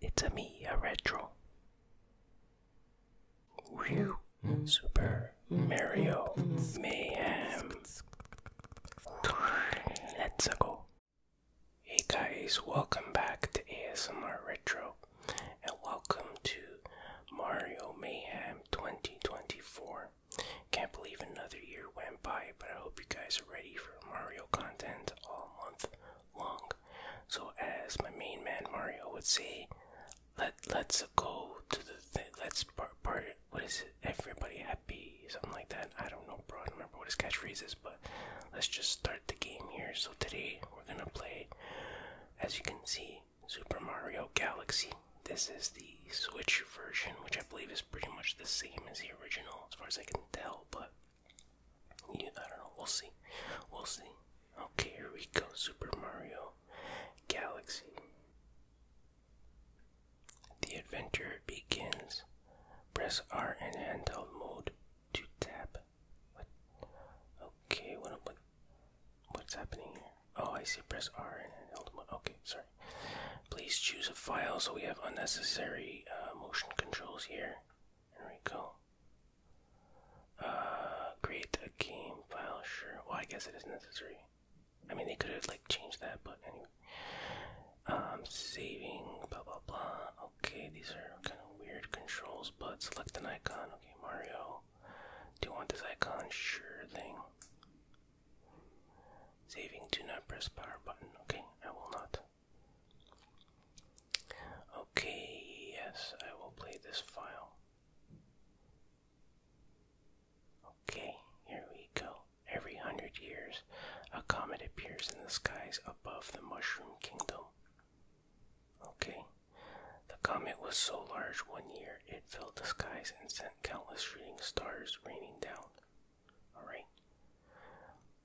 It's a me, a retro. Super Mario Mayhem. Let's go. Hey guys, welcome back to ASMR Retro and welcome to Mario Mayhem 2024. Can't believe another year went by but I hope you guys are ready for Mario content all month long. So, as my main man Mario would say, let let's go to the let's part What is it? Everybody happy, something like that. I don't know, bro. I don't remember what his catchphrase is, but let's just start the game here. So today we're gonna play, as you can see, Super Mario Galaxy. This is the Switch version, which I believe is pretty much the same as the original, as far as I can tell. But yeah, I don't know. We'll see. We'll see. Okay, here we go. Super Mario Galaxy. The adventure begins. Press R in handheld mode to tap. What? Okay, what, what what's happening here? Oh, I see. Press R in handheld mode. Okay, sorry. Please choose a file so we have unnecessary uh, motion controls here. There we go. Uh, create a game file, sure. Well, I guess it is necessary. I mean, they could have like changed that, but anyway. Um, saving, blah blah blah. Okay, these are kind of weird controls, but select an icon. Okay, Mario. Do you want this icon? Sure thing. Saving, do not press power button. Okay, I will not. Okay, yes, I will play this file. Okay, here we go. Every hundred years, a comet appears in the skies above the Mushroom Kingdom. Okay, the comet was so large one year it filled the skies and sent countless shooting stars raining down. Alright.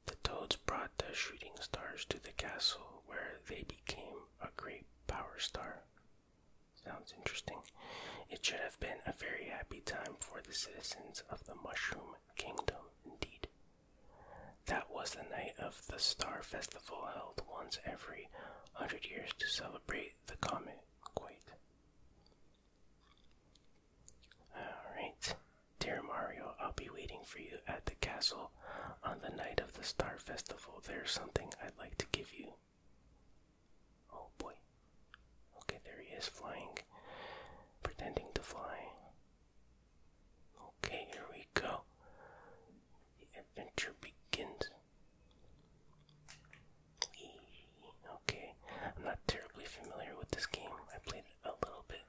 The Toads brought the shooting stars to the castle where they became a great power star. Sounds interesting. It should have been a very happy time for the citizens of the Mushroom Kingdom, indeed. That was the night of the Star Festival held once every hundred years to celebrate the comet. Quite. Alright. Dear Mario, I'll be waiting for you at the castle on the night of the Star Festival. There's something I'd like to give you. Oh boy. Okay, there he is flying. Pretending to fly. Okay, here we go. The adventure begins. Okay, I'm not terribly familiar with this game. I played a little bit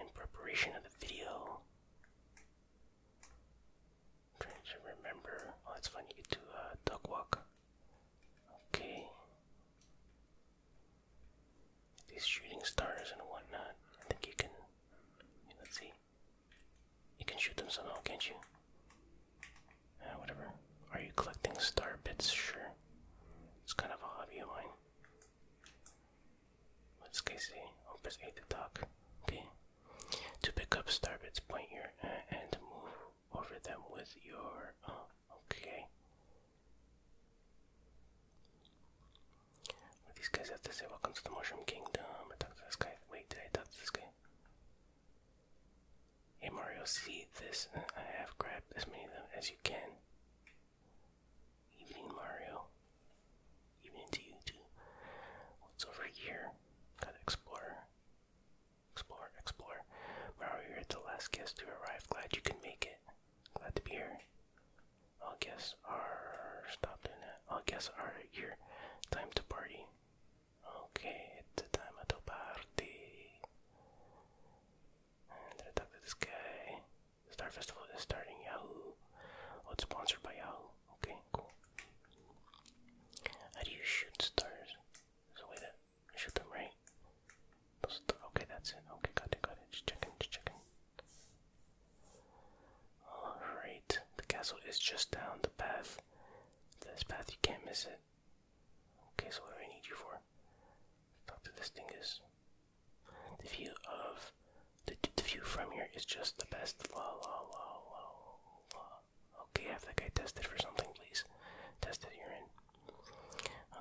in preparation of the video. trying to remember. Oh, that's fun. You get to duck walk. Okay. These shooting stars and whatnot. I think you can. Let's see. You can shoot them somehow, can't you? Uh, whatever. Are you collecting star bits? Sure. It's kind of a hobby of mine. Let's Casey? I'll oh, press A to talk. Okay. To pick up Starbit's point here and move over them with your. okay. What these guys Welcome to the Mushroom Kingdom. I talked to this guy. Wait, did I talk to this guy? Hey Mario, see this? I have grabbed as many of them as you can. Evening Mario. Evening to you too. What's over here? Gotta explore. Explore, explore. Mario, you're the last guest to arrive. Glad you can make it. Glad to be here. I'll guess stop doing that. I'll guess here. Time to party. Okay, it's time to party. I talked to this guy. Star Festival is starting. Yahoo! Oh, it's sponsored by Yahoo. Okay, cool. How do you shoot stars? So wait, that shoot them right. Okay, that's it. Okay, got it, got it. Just checking, just checking. Alright, the castle is just down the path. This path, you can't miss it. Okay, so what do I need you for? Fuck this thing is. The view of the, the view from here is just the best. La la la la la. Okay, have that guy tested for something, please. Tested urine.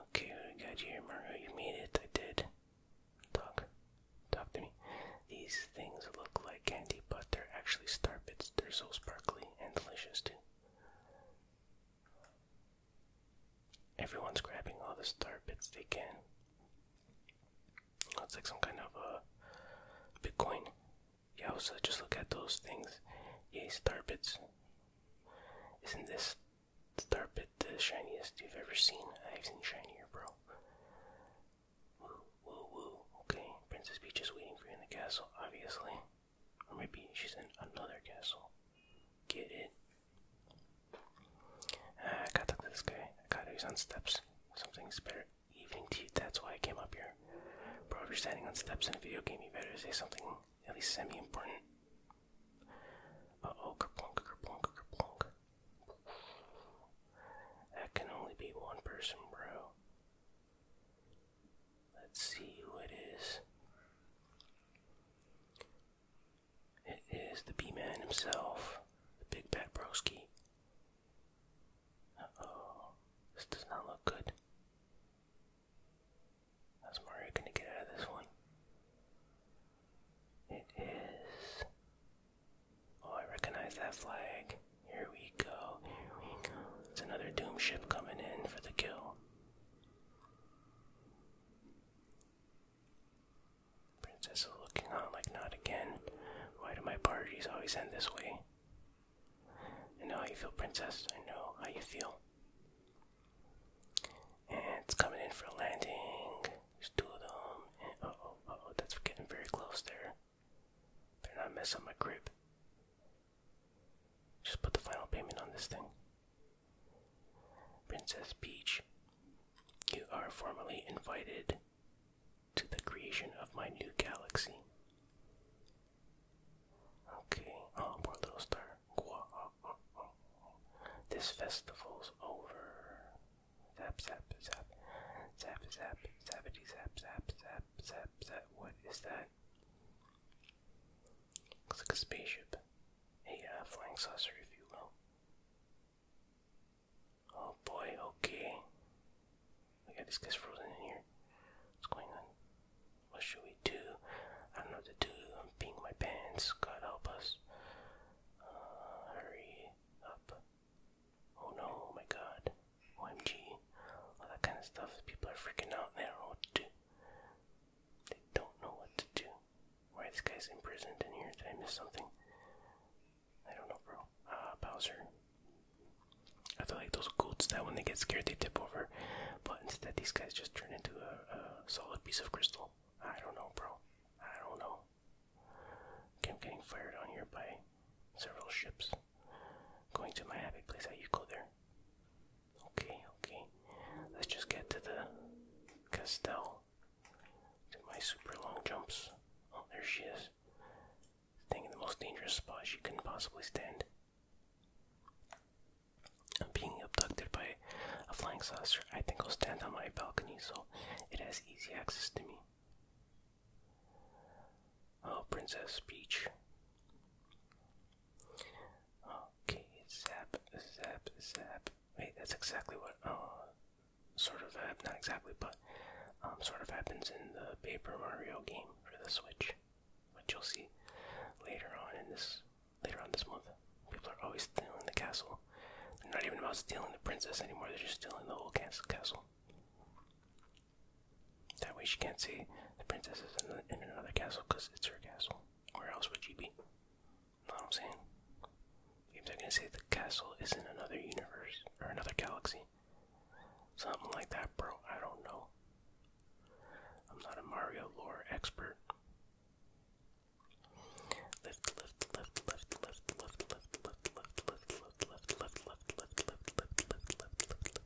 Okay, what here, Mario? You made it. I did. Talk, talk to me. These things look like candy, but they're actually star bits. They're so sparkly and delicious too. Everyone's grabbing all the star bits they can. It's like some kind of a uh, Bitcoin. Yeah, also just look at those things. Yay, star bits. Isn't this star bit the shiniest you've ever seen? I've seen shinier, bro. Woo, woo, woo. Okay, Princess Peach is waiting for you in the castle, obviously. Or maybe she's in another castle. Get it? Ah, I gotta this guy. I gotta he's steps. Something's better. Evening tea, that's why I came up here. Bro, if you're standing on steps in a video game, you better say something at least semi important. Uh oh, kerplunk, kerplunk, kerplunk. That can only be one person, bro. Let's see who it is. It is the B-Man himself, the Big Pat Broski. oh this does not look good. How's Mario gonna get out of this one? It is... Oh, I recognize that flag. Here we go, here we go. It's another Doom ship coming in for the kill. Princess is looking on like not again. Why do my parties always end this way? I know how you feel, Princess. I know how you feel. And it's coming in for a landing. There's two of them. And oh, oh, that's getting very close there. They're not messing up my grip. Just put the final payment on this thing. Princess Peach, you are formally invited to the creation of my new galaxy. Okay, oh, poor little star. Uh, uh, uh, this festival's over. Zap, zap, zap. Zap, zap, zappity, zap, zap, zap, zap, zap. What is that? Looks like a spaceship. A uh, flying saucer, if you will. Oh boy, okay. We got this guy's frozen in here. What's going on? What should we do? I don't know what to do. I'm peeing my pants. God help us. Uh, hurry up. Oh no, oh my god. OMG. All that kind of stuff. People are freaking out. They don't know they don't know what to do. Why this guy's imprisoned in here? Did I miss something? I don't know, bro. Uh, Bowser. I feel like those goats that when they get scared they tip over, but instead these guys just turn into a, solid piece of crystal. I don't know, bro. I don't know. Okay, I'm getting fired on here by several ships. Going to my happy place. How you go there? Okay, okay. Let's just get to the Castell. Do my super long jumps. Oh, there she is. Staying in the most dangerous spot she couldn't possibly stand. I'm being abducted by a flying saucer. I think I'll stand on my balcony so it has easy access to me. Oh, Princess Peach. Okay, zap, zap, zap. Wait, that's exactly what uh, sort of uh, not exactly, but um, sort of happens in the Paper Mario game for the Switch, which you'll see later on in this later on this month. People are always stealing the castle. They're not even about stealing the princess anymore. They're just stealing the whole castle. That way she can't see the princess is in another castle because it's her castle. Where else would you be? Know what I'm saying? Maybe are gonna say the castle is in another universe or another galaxy. Something like that, bro. I don't know. I'm not a Mario lore expert. Lift, lift, lift, lift, lift, lift, lift, lift, lift, lift, lift, lift, lift, lift, lift, lift, lift, lift, lift, lift,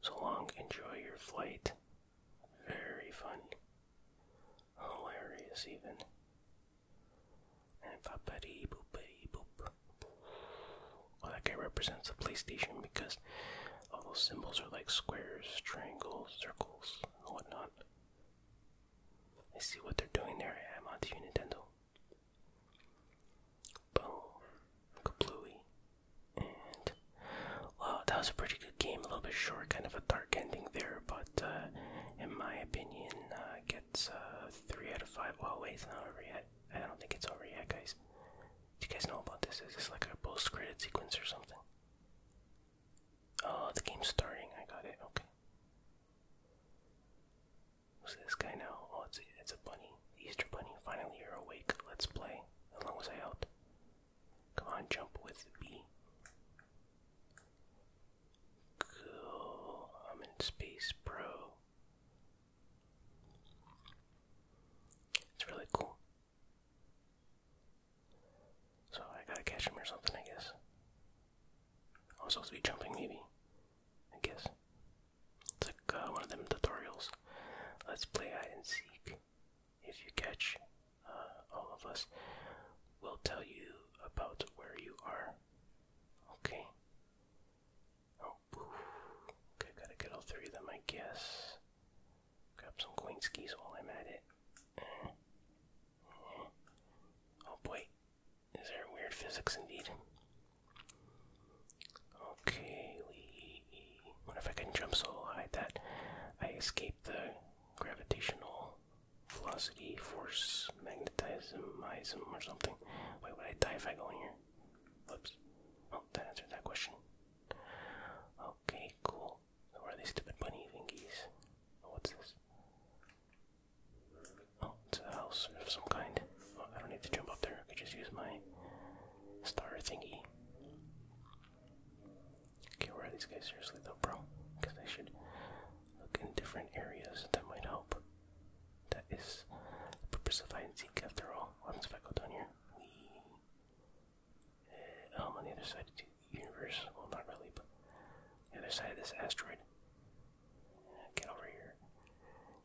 So long, enjoy your flight. Very funny. Hilarious, even. And boopity boopity boop. Well, that guy represents the PlayStation because all those symbols are like squares, triangles, circles, and whatnot. I see what they're doing there. I'm onto you, Nintendo. Boom. Kablooey. And that was a pretty good game. A little bit short, kind of a dark ending there, but uh, in my opinion, uh, gets uh, three out of five. Well, wait, it's not over yet. I don't think it's over yet, guys. Do you guys know about this? Is this like a post-credit sequence or something? Oh, the game's starting. I got it. Okay. Who's this guy now? Oh, it's it's a bunny. Easter bunny. Finally, you're awake. Let's play. How long was I out? Come on, jump with B. Cool. I'm in space, bro. It's really cool. So I gotta catch him or something, I guess. I'm supposed to be jumping, maybe. I guess. It's like uh, one of them tutorials. Let's play hide and seek. If you catch uh, all of us, we'll tell you about where you are. Okay. Oh, okay, gotta get all three of them, I guess. Grab some coin skis while I'm at it. Oh boy, is there weird physics indeed? Okay, we. What if I can jump so high that I escape the gravitational velocity, force, magnetism, or something? Wait, would I die if I go in here? Oops. Oh, that answered that question. Okay, cool. where are these stupid bunny thingies? what's this? Oh, it's a house of some kind. Oh, I don't need to jump up there. I could just use my star thingy. Okay, where are these guys seriously though, bro? Because I should look in different areas that might help. That is the purpose of hide and seek after all. What if I go down here? We uh, um, on the other side of the universe. Well, not really, but the other side of this asteroid. Get over here.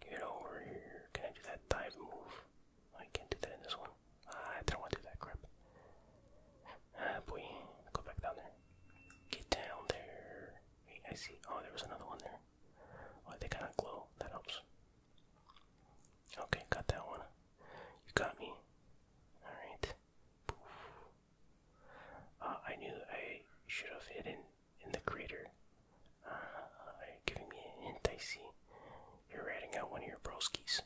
Get over here. Can I do that dive move? I can't do that in this one. I don't want to do that crap. Ah, boy. Go back down there. Get down there. Wait, I see. Oh, there was another one there. Oh, they kind of glow. That helps. Okay, got that one. You got me. Alright. Uh, I knew I should have hidden in the crater uh, giving me a hint? I see. You're ratting out one of your broskies.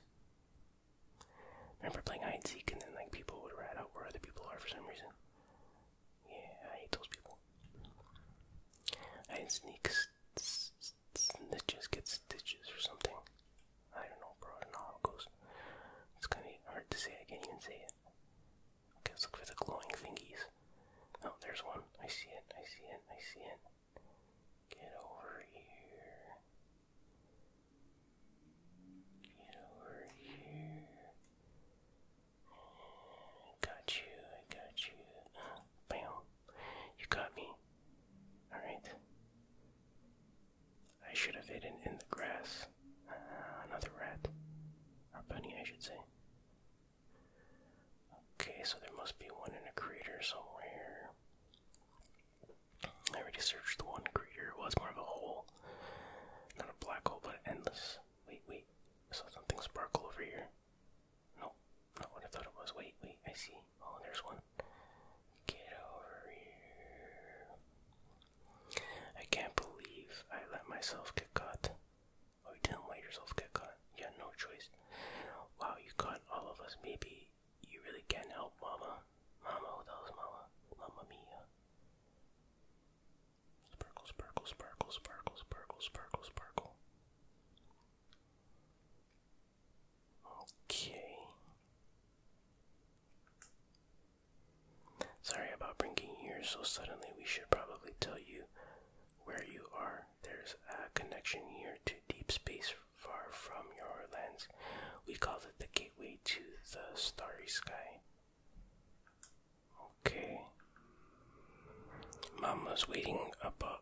Remember playing hide and seek, and then like people would rat out where other people are for some reason. Yeah, I hate those people. I sneak snitches get stitches or something. I don't know, bro. I don't know how it goes. It's kind of hard to say. I can't even say it. let's look for the glowing thingies. Oh, there's one. I see it. I see it. I see it. Get over here. Get over here. Got you, I got you. Bam. You got me. Alright. I should have hidden in the grass. Ah, another rat. Or bunny, I should say. Okay, so there must be one in a crater somewhere. I already searched the one crater. it was more of a hole. Not a black hole, but endless. Wait, wait. I saw something sparkle over here. No, not what I thought it was. Wait, wait, I see. Oh, there's one. Get over here. I can't believe I let myself get caught. Oh, you didn't let yourself get caught. You had no choice. Wow, you caught all of us. Maybe you really can't help Mama. Mama, who the Mama? Mama Mia. Sparkle, sparkle, sparkle, sparkle, sparkle, sparkle, sparkle. Okay. Sorry about bringing you here so suddenly. We should probably tell you where you are there's a connection here to deep space far from your lands. We call it the gateway to the starry sky. Okay. Mama's waiting above uh,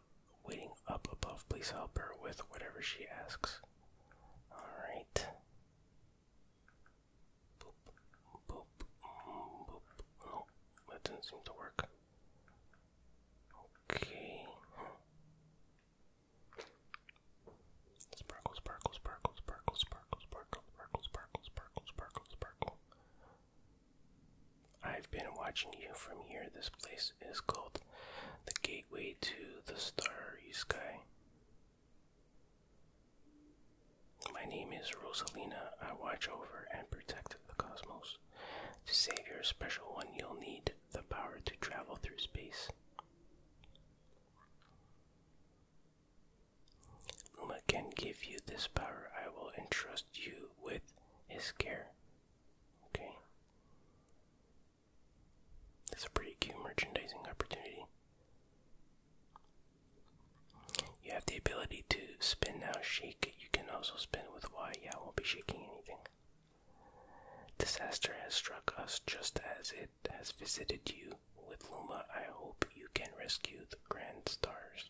waiting up above. Please help her with whatever she asks. Alright. Boop boop mm, boop. No, that didn't seem to work. Okay. Sparkle, sparkle, sparkle, sparkle, sparkle, sparkle, sparkle, sparkle, sparkle, sparkle, sparkle. I've been watching you from here. This place is called the Gateway to the Starry Sky. My name is Rosalina. I watch over and protect the cosmos. To save your special one, you'll need the power to travel through space. Uma can give you this power. I will entrust you with his care. Okay. That's a pretty cute merchandising opportunity. You have the ability to spin now, shake. You can also spin with Y. Yeah, I won't be shaking anything. Disaster has struck us just as it has visited you. With Luma, I hope you can rescue the grand stars.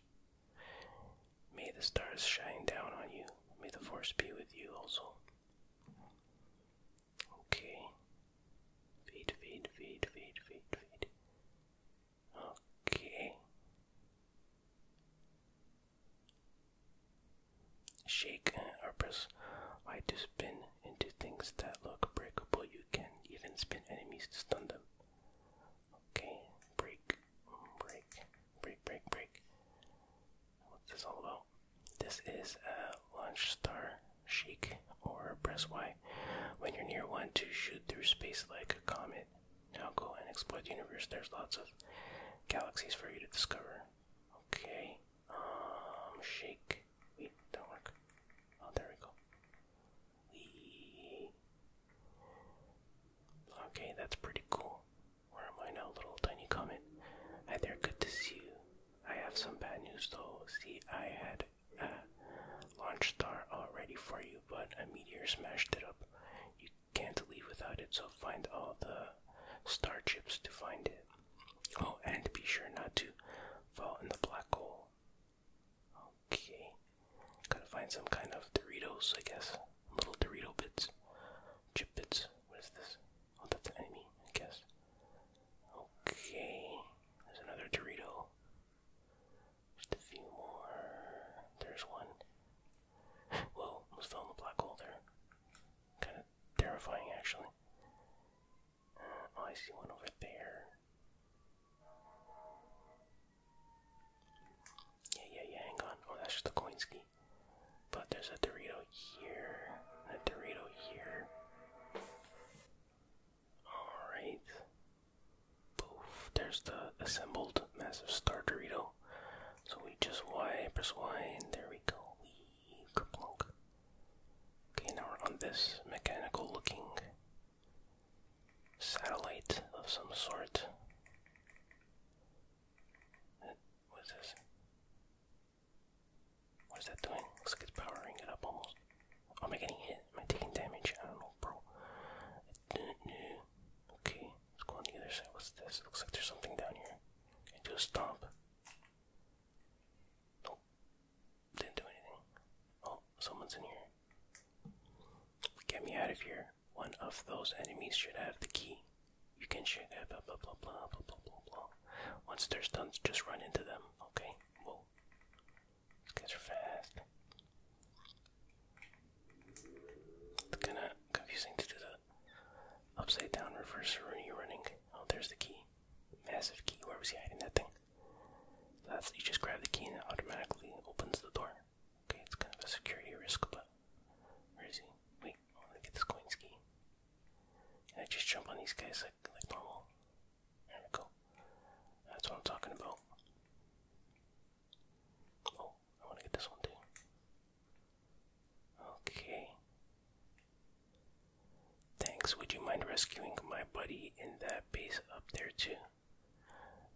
May the stars shine down on you. May the force be with you also. Okay. Fade, fade, fade, fade, fade, fade. Okay. Shake or press Y to spin into things that look breakable. You can even spin enemies to stun them. Okay, break, break, break, break, break. What's this all about? This is a launch star shake or press Y. When you're near one to shoot through space like a comet now go and explore the universe. There's lots of galaxies for you to discover. Okay. Um, shake. Wait, don't work. Oh, there we go. Okay, that's pretty cool. Where am I now, little tiny comet? Hi there, good to see you. I have some bad news though. See, I had a launch star already for you, but a meteor smashed it up. Can't leave without it, so find all the star chips to find it. Oh, and be sure not to fall in the black hole. Okay. Gotta find some kind of Doritos, I guess. Little Dorito bits. Chip bits. What is this? Oh, that's an enemy, I guess. Okay. There's another Dorito. Just a few more. There's one. Whoa, almost fell in the black hole there. Kind of terrifying, actually. Uh, oh, I see one over there. Yeah, yeah, yeah, hang on. Oh, that's just a coin But there's a Dorito here, a Dorito here. Alright. Poof, there's the assembled massive star Dorito. So we just Y, press Y, and there we go. Wee, Okay, now we're on this mechanical looking satellite of some sort. What's this? What is that doing? Looks like it's powering it up almost. am I getting hit? Am I taking damage? I don't know, bro. Okay, let's go on the other side. What's this? Looks like there's something down here. Can do a stomp? Nope. Didn't do anything. Oh, someone's in here. Get me out of here. One of those enemies should have the key. You can share that, blah, blah, blah, blah, blah, blah, blah, Once they're done, just run into them. Okay, whoa. These guys are fast. It's kinda confusing to do the upside down reverse Rooney running. Oh, there's the key. Massive key. Where was he hiding that thing? That's you just grab the key and it automatically opens the door. Okay, it's kind of a security risk, but where is he? Wait, I want to get this coin's key. Can I just jump on these guys like like normal? There we go. That's what I'm talking about. Oh, I want to get this one too. Okay. Thanks. Would you mind rescuing my buddy in that base up there too?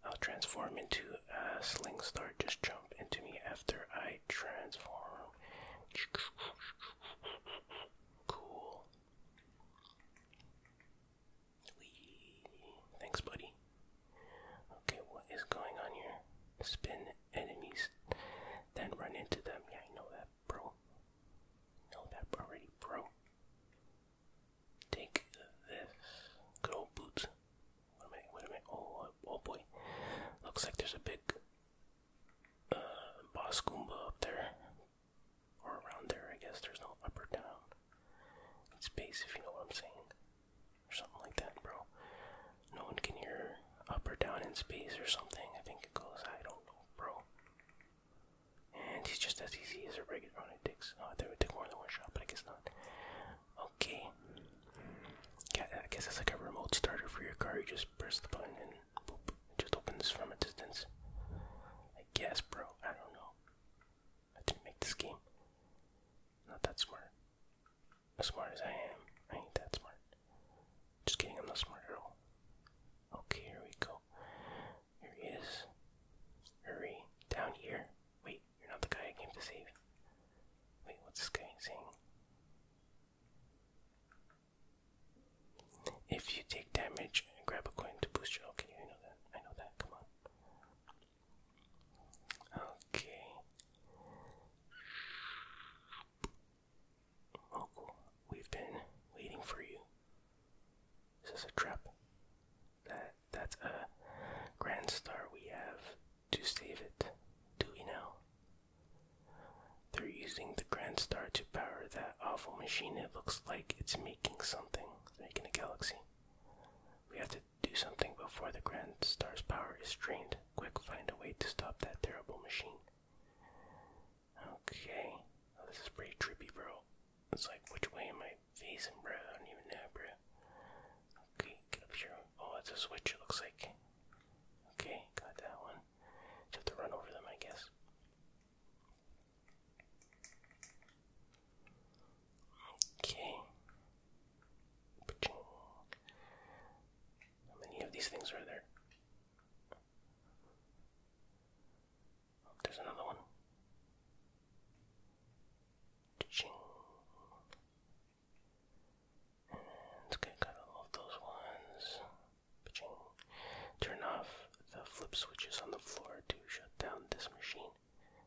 I'll transform into a sling star. Just jump into me after I transform. Cool. Thanks, buddy. Okay, what is going on here? Spin enemies, then run into them. Yeah, I know that, bro. Know that already, bro. Take this. Good old boots. What am I? What am I? Oh, uh, oh boy. Looks like there's a big uh, boss Goomba up there, or around there. I guess there's no up or down. Space, if you know what I'm saying. Or something like that, bro. No one can hear up or down in space or something. I think it goes, I don't know, bro. And he's just as easy as a regular on it takes. Oh, I thought it would take more than one shot, but I guess not. Okay. Yeah, I guess it's like a remote starter for your car. You just press the button and boop, it just opens from a distance. I guess, bro. I don't know. I didn't make this game. Not that smart. As smart as I am, I ain't that smart. Just kidding, I'm not smart at all. Okay, here we go. Here he is. Hurry, down here. Wait, you're not the guy I came to save. Wait, what's this guy saying? If you take damage, grab a coin to boost you. Okay, I know that. I know that. Come on. Okay. Mogul, we've been waiting for you. Is this a trap? That that's a grand star we have to save it, do we now? They're using the grand star to power that awful machine. It looks like it's making something. It's making a galaxy. We have to do something before the Grand Star's power is drained. Quick, find a way to stop that terrible machine. Okay. Oh, this is pretty trippy, bro. It's like, which way am I facing, bro? I don't even know, bro. Okay, get up here. Oh, it's a switch, it looks like. Okay, got that one. Just have to run over them, I guess. Okay. How many of these things are there? Oh, there's another one. And get got all of those ones. Turn off the flip switches on the floor to shut down this machine.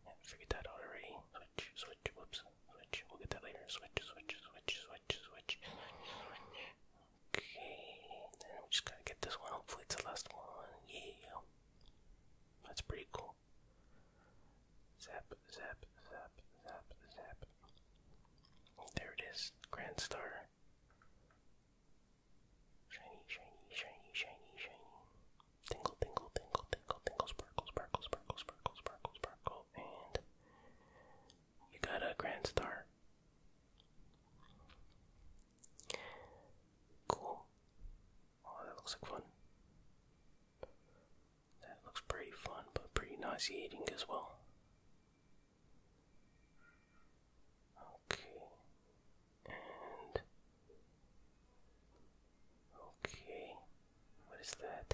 Yeah, figured that already. Switch, switch, whoops, switch. We'll get that later. Switch, switch, switch, switch, switch. Okay, then we just gotta get this one. Hopefully, it's the last one. Yeah, that's pretty cool. Zap, zap, zap, zap, zap. There it is, Grand Star. Shiny, shiny, shiny, shiny, shiny tingle, tingle, tingle, tingle, tingle, sparkle, sparkle, sparkle, sparkle, sparkle, sparkle, and you got a grand star. Cool. Oh, that looks like fun. That looks pretty fun, but pretty nauseating as well. Okay, okay, what is that?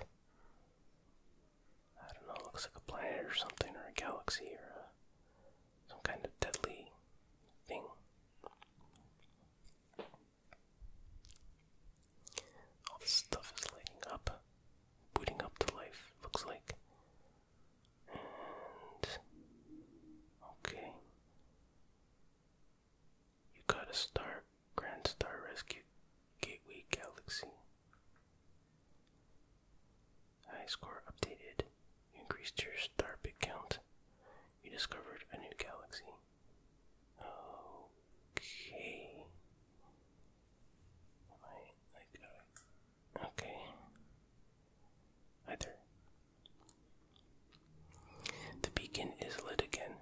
I don't know, looks like a planet or something, or a galaxy, or a, some kind of deadly thing. All this stuff is lighting up, putting up to life, looks like. okay. You got a star, Grand Star Rescue Gateway Galaxy. High score updated. increased your star bit count. You discovered a new galaxy. Okay. Am okay. Hi the beacon is lit again.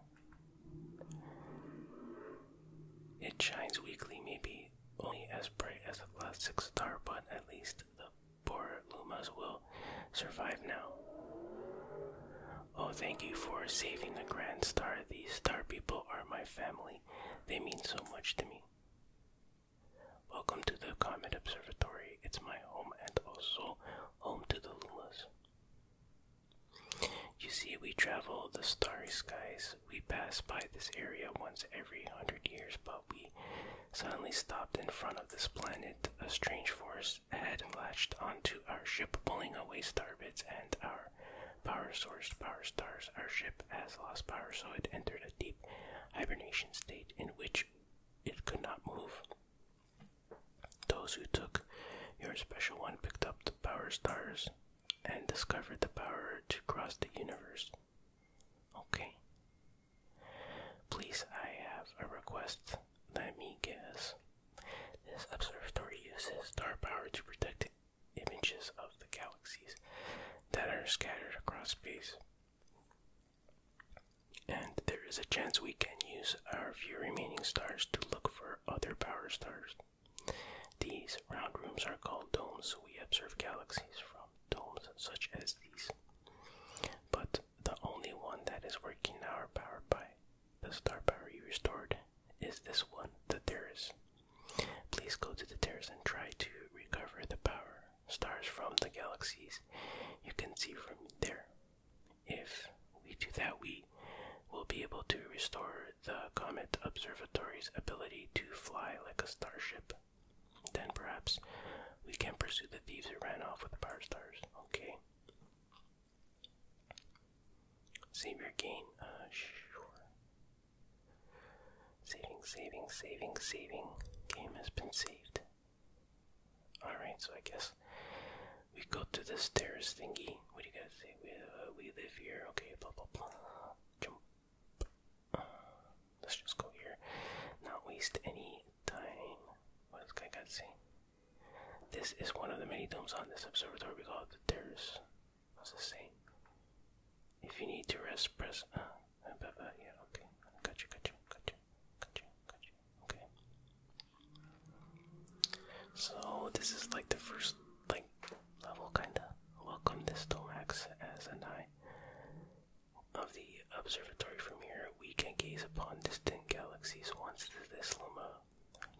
It shines weakly, maybe only as bright as the last six star, but at least the poor Lumas will survive now. Oh, thank you for saving the Grand Star. These star people are my family. They mean so much to me. Welcome to the Comet Observatory. It's my home and also home to the Lumas. You see, we travel the starry skies. We pass by this area once every hundred years, but we suddenly stopped in front of this planet. A strange force had latched onto our ship, pulling away starbits and our power source, power stars. Our ship has lost power, so it entered a deep hibernation state in which it could not move. Those who took your special one picked up the power stars and discovered the power to cross the universe. Okay. Please, I have a request. Let me guess. This observatory uses star power to protect images of the galaxies that are scattered across space. And there is a chance we can use our few remaining stars to look for other power stars. These round rooms are called domes. We observe galaxies from domes such as these. But the only one that is working now, powered by the star power you restored, is this one, the terrace. Please go to the terrace and try to recover the power stars from the galaxies you can see from there. If we do that, we will be able to restore the Comet Observatory's ability to fly like a starship. Then perhaps we can pursue the thieves who ran off with the power stars. Okay. Savior gain. Uh, sure. Saving, saving, saving, saving. Game has been saved. Alright, so I guess we go to the stairs thingy. What do you guys say? We, uh, we live here. Okay, blah blah blah. Jump. let's just go here. Not waste any time. What does guy got to say? This is one of the many domes on this observatory we call it the terrace. What's it say? If you need to rest, press. Uh, blah, blah, yeah, okay. Gotcha, gotcha, gotcha, gotcha, gotcha. Okay. So this is like the first like level kinda. Welcome this Domax as an eye of the observatory from here we can gaze upon distant galaxies once this luma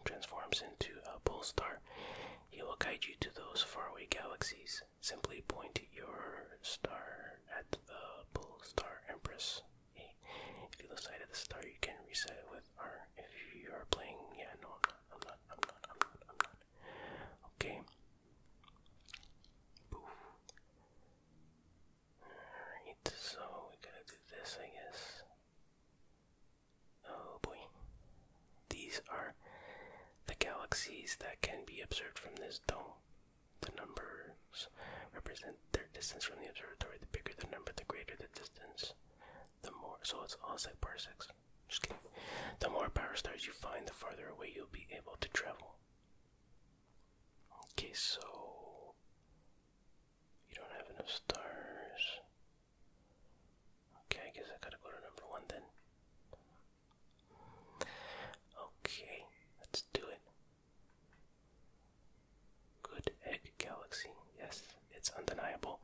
transforms into a pole star. He will guide you to those faraway galaxies. Simply point your star at the pole star empress a. If you lose sight of the star, you can reset with R. If you are playing, yeah, no, I'm not, I'm not, I'm not, I'm not, I'm not. Okay. Poof. Alright, so we gotta do this, I guess. Oh boy. These are the galaxies that can be observed from this dome. The numbers represent their distance from the observatory. The bigger the number, the greater the distance. The more, so it's all like parsecs. Just The more power stars you find, the farther away you'll be able to travel. Okay, so you don't have enough stars. Okay, I guess I gotta go to number one then. Okay, let's do it. Good Egg Galaxy. Yes, it's undeniable.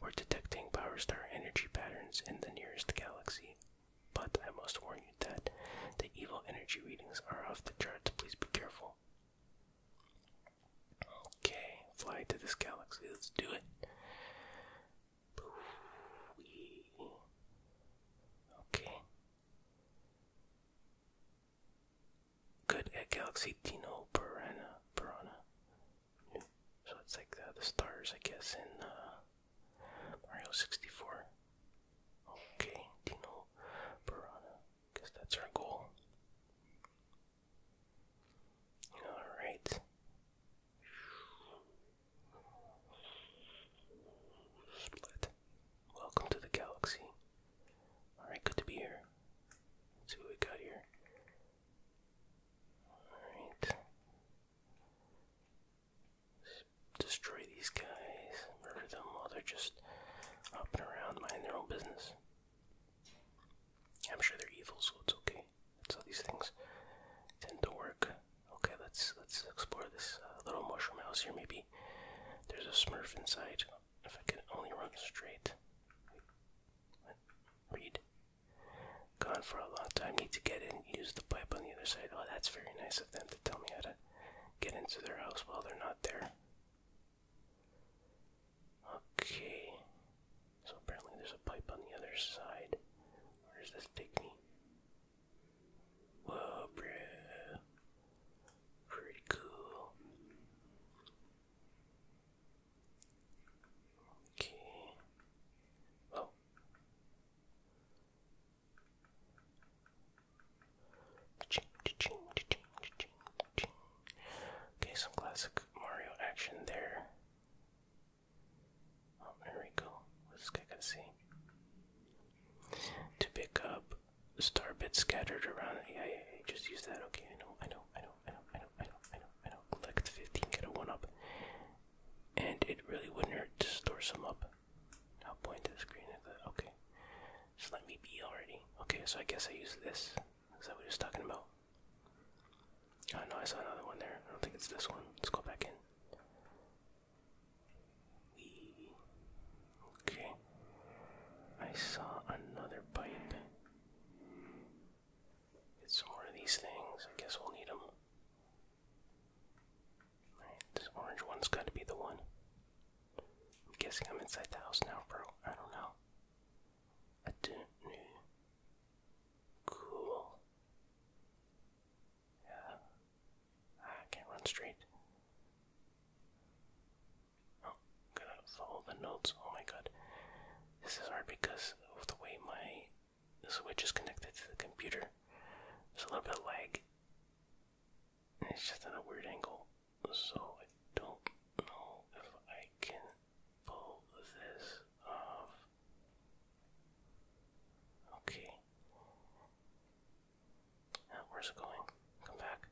We're detecting power star energy patterns in the nearest galaxy. But I must warn you that the evil energy readings are off the charts. Please be careful. Okay, fly to this galaxy. Let's do it. Okay good at Galaxy Dino Pirana Pirana, So it's like uh, the, stars, I guess, in uh, Mario 64. Okay, Dino Piranha. Guess that's our goal. Alright. Split. Welcome to the galaxy. Alright, good to be here. see what we got here. Alright. Destroy these guys, murder them while they're just up and around minding their own business. I'm sure they're evil, so it's okay. So these things tend to work. Okay, let's let's explore this uh, little mushroom house here. Maybe there's a smurf inside. If I could only run straight. Read. Gone for a long time. Need to get in. Use the pipe on the other side. Oh, that's very nice of them to tell me how to get into their house while they're not there. Okay. So apparently there's a pipe on the other side. Where this take Whoa, bruh. Pretty cool. Okay. Oh. Okay, some classic Mario action there. Oh, there we go. What's this guy going To pick up star bits scattered around. Yeah, yeah, yeah, just use that. Okay, I know, I know, I know, I know, I know, I know, I know, I know. Collect 15, get a 1 up. And it really wouldn't hurt to store some up. I'll point to the screen at that. Okay. So let me be already. Okay, so I guess I use this. Is that what he was talking about? Oh no, I saw another one there. I don't think it's this one. Let's go back in. Okay. I saw another pipe. Get some more of these things. I guess we'll need them. this orange one's got to be the one. I'm guessing I'm inside the house now, bro. I don't know. I do Cool. Yeah. I ah, can't run straight. Oh, gotta follow the notes. Oh my god. This is hard because of the way my switch is connected to the computer. There's a little bit lag. And it's just at a weird angle. So I don't know if I can pull this off. Okay. Ah, where's it going? Come back.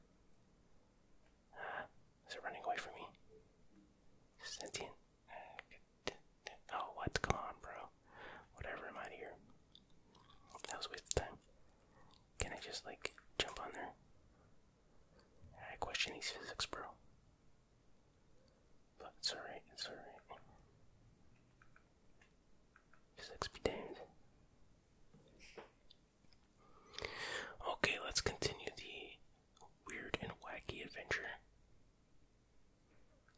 Ah, is it running away from me? Sentient. Ah, oh, what's going on, bro? Whatever, I'm out here. That was a time. Can I just, like, jump on there? I question these physics, bro. But it's alright, it's alright. Six be damned. Okay, let's continue the weird and wacky adventure.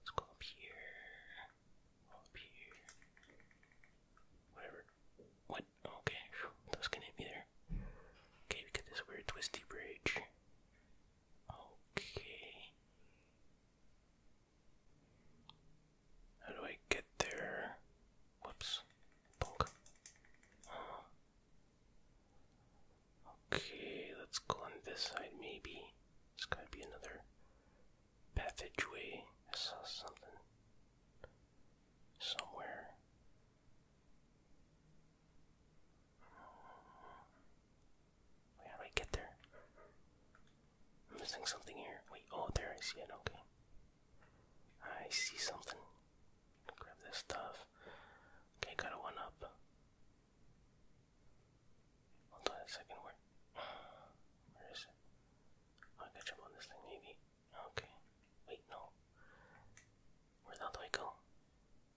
Let's go up here. Up here. Whatever. What? Okay, that gonna hit me there. Okay, we got this weird twisty bridge. Okay. How do I get there? Whoops. Okay, let's go on this side maybe. There's gotta be another passageway. I saw something somewhere. How do I get there? I'm missing something here. Wait, oh, there I see it. Okay. I see something. Grab this stuff. Okay, got a one up. Hold on a second. Where? Where is it? Oh, I will catch up on this thing, maybe. Okay. Wait, no. Where the hell do I go?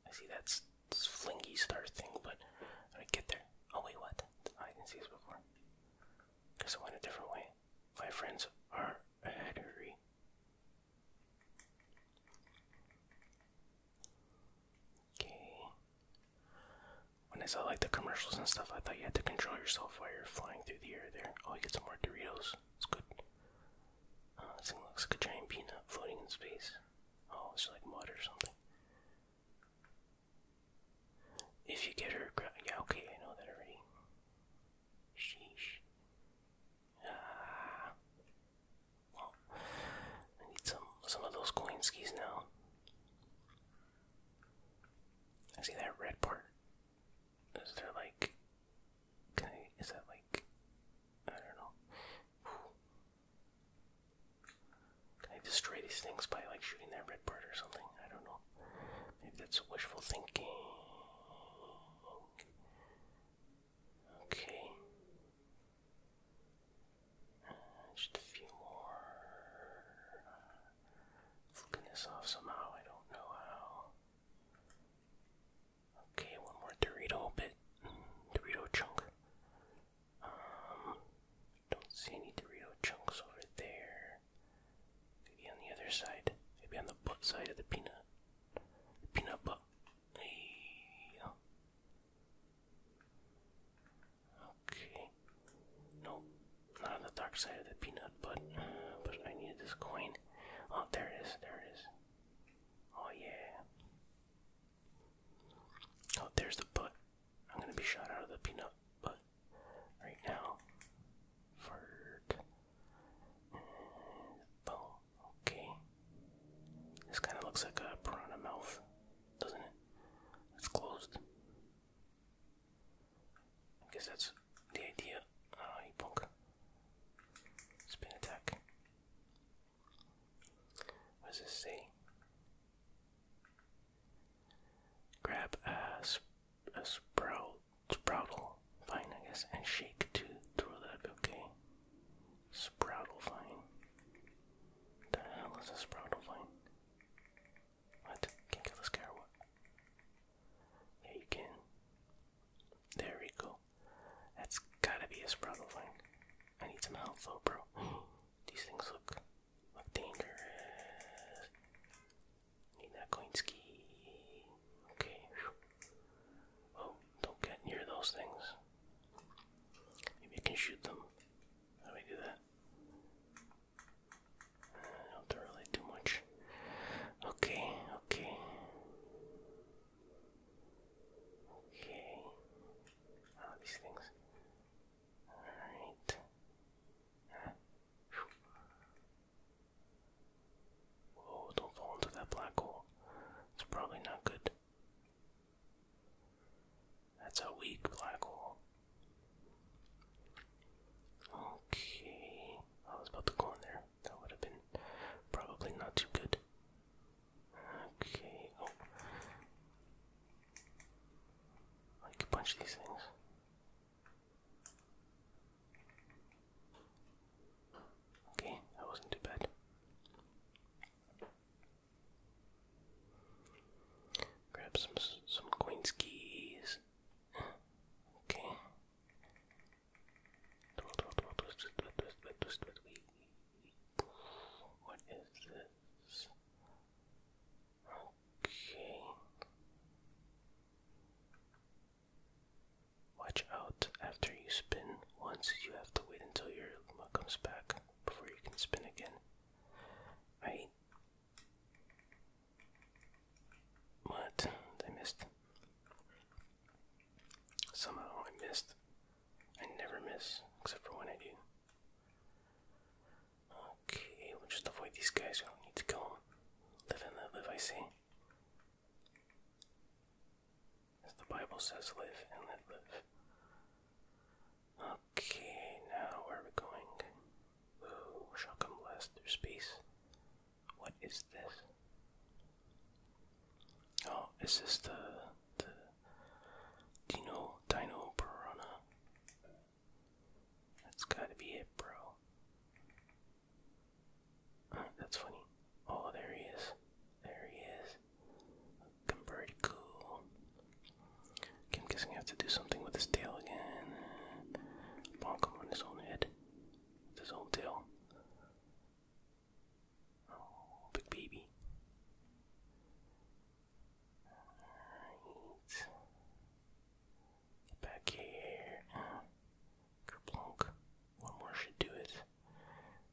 I see that flingy star thing, but how do I get there? Oh, wait, what? I didn't see this before. Because I went a different way. My friends are ahead Okay. When I saw like the commercials and stuff, I thought you had to control yourself while you're flying through the air there. Oh, you get some more Doritos. It's good. Uh, this thing looks like a giant peanut floating in space. Oh, it's like mud or something. If you get her yeah, okay, I know that already. Sheesh. Ah. Well, I need some some of those Kolinskis now. I see that red part. Is there like can is that like I don't know. I destroy these things by like shooting that red bird or something. I don't know. Maybe that's wishful thinking. Okay. just a few more. Flipping this off somehow. I don't know how. Okay, one more Dorito bit. Dorito chunk. Um, don't see any Dorito chunks over there. Maybe on the other side. Maybe on the butt side of the peanut. peanut butt. Yeah. Okay. Nope. Not on the dark side of the peanut, but but I needed this coin. Oh, there it is. There it is. Oh yeah. Oh, there's the butt. I'm gonna be shot out of the peanut butt right now. Fart. Oh, okay. This kind of looks like a piranha mouth, doesn't it? It's closed. I guess that's the idea. Ah, you punk. Spin attack. What this say? Grab a, sprout, sproutle, fine, I guess, and shake to throw that up, okay? Sproutle vine. The hell is a sproutle vine? What? Can't kill this guy what? Yeah, you can. There we go. That's gotta be a sproutle vine. I need some health though, bro. These things look dangerous. Need that coin ski. Okay. Oh, don't get near those things. Maybe I can shoot them. How do do that? don't have to really do much. Okay, okay. Okay. Ah, these things. Alright. don't fall into that black hole. It's probably not good. That's a weak black hole. Okay. I was about to go in there. That would have been probably not too good. Okay. Oh. I can punch these things. Okay, that wasn't too bad. Grab some some coins keys. Okay. What is this? Okay. Watch out after you spin once, you have to wait until your luck comes back before you can spin again. Right? What? I missed. Somehow I missed. I never miss, except for when I do. Okay, we'll just avoid these guys. We don't need to go Live and let live, I say. As the Bible says, live and let live. Okay, now where are we going? Ooh, shotgun blast through space. What is this? Oh, is this the the Dino Dino Piranha? That's gotta be it, bro. that's funny. Oh, there he is. There he is. Looking pretty cool. I'm guessing I have to do something with his tail again. Bonk him on his own head. his own tail. Oh, big baby back here. Kerplunk. One more should do it.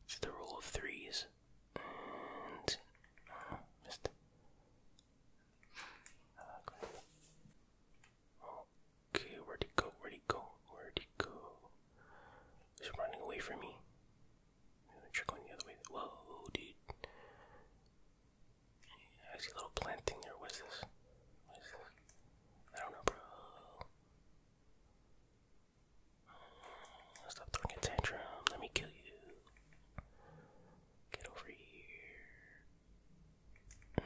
It's the rule of threes. And. Uh, missed. okay, where'd he go? Where'd he go? Where'd he go? He's running away from me trickling the other way. Whoa, dude. I see a little plant thing there. What is this? I don't know, bro. Mm, stop throwing a tantrum. Let me kill you. Get over here. Mm,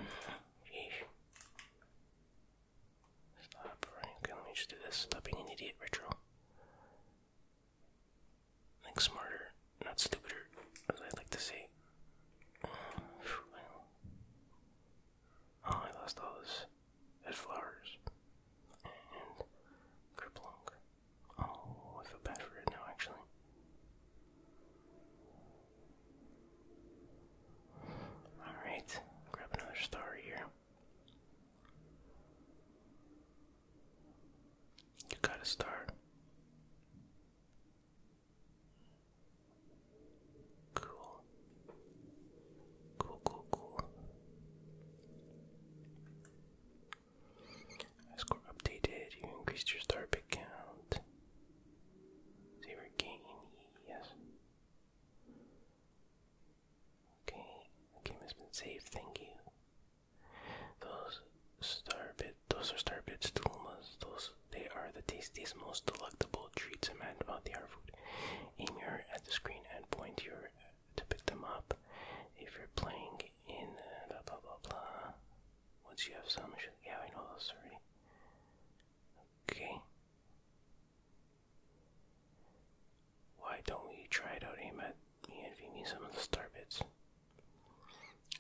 stop let me just do this. Stop being an idiot, Retro. Like smarter, not stupider, as I'd like to say. Oh, I lost all this flowers and crippling. Oh, I feel bad for it now, actually. Alright, grab another star here. You gotta start. Cool. Cool, cool, cool. Score updated. You increased your star pick count. Zero gain. Yes. Okay. The game has been saved. Thank you. Those starbit, those are starbit stulmas. Those they are the tastiest, most delectable treats imagined about the art food. Aim your at the screen and point your to pick them up. If you're playing in uh, blah blah blah blah, once you have some, yeah, I know those already. Okay. Why don't we try it out? Aim even if you need some of the star bits.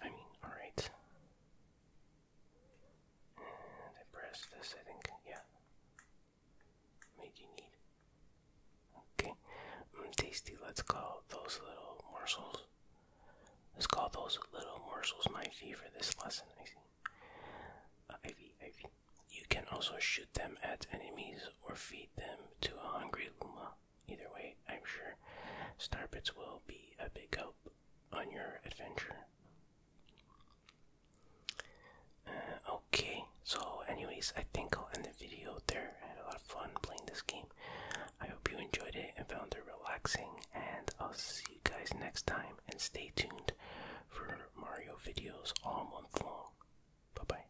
I mean, alright. And mm, I press this, I think, yeah. What you need? Okay, mm, tasty, let's call those little morsels. Let's call those little morsels my fee for this lesson, I see. Ivy, uh, Ivy. You can also shoot them at enemies or feed them to a hungry Luma. Either way, I'm sure Starbits will be a big help on your adventure. Uh, okay, so anyways, I think I'll end the video there. I had a lot of fun playing this game. I hope you enjoyed it and found it relaxing, and I'll see you guys next time. And stay tuned for Mario videos all month long. Bye bye.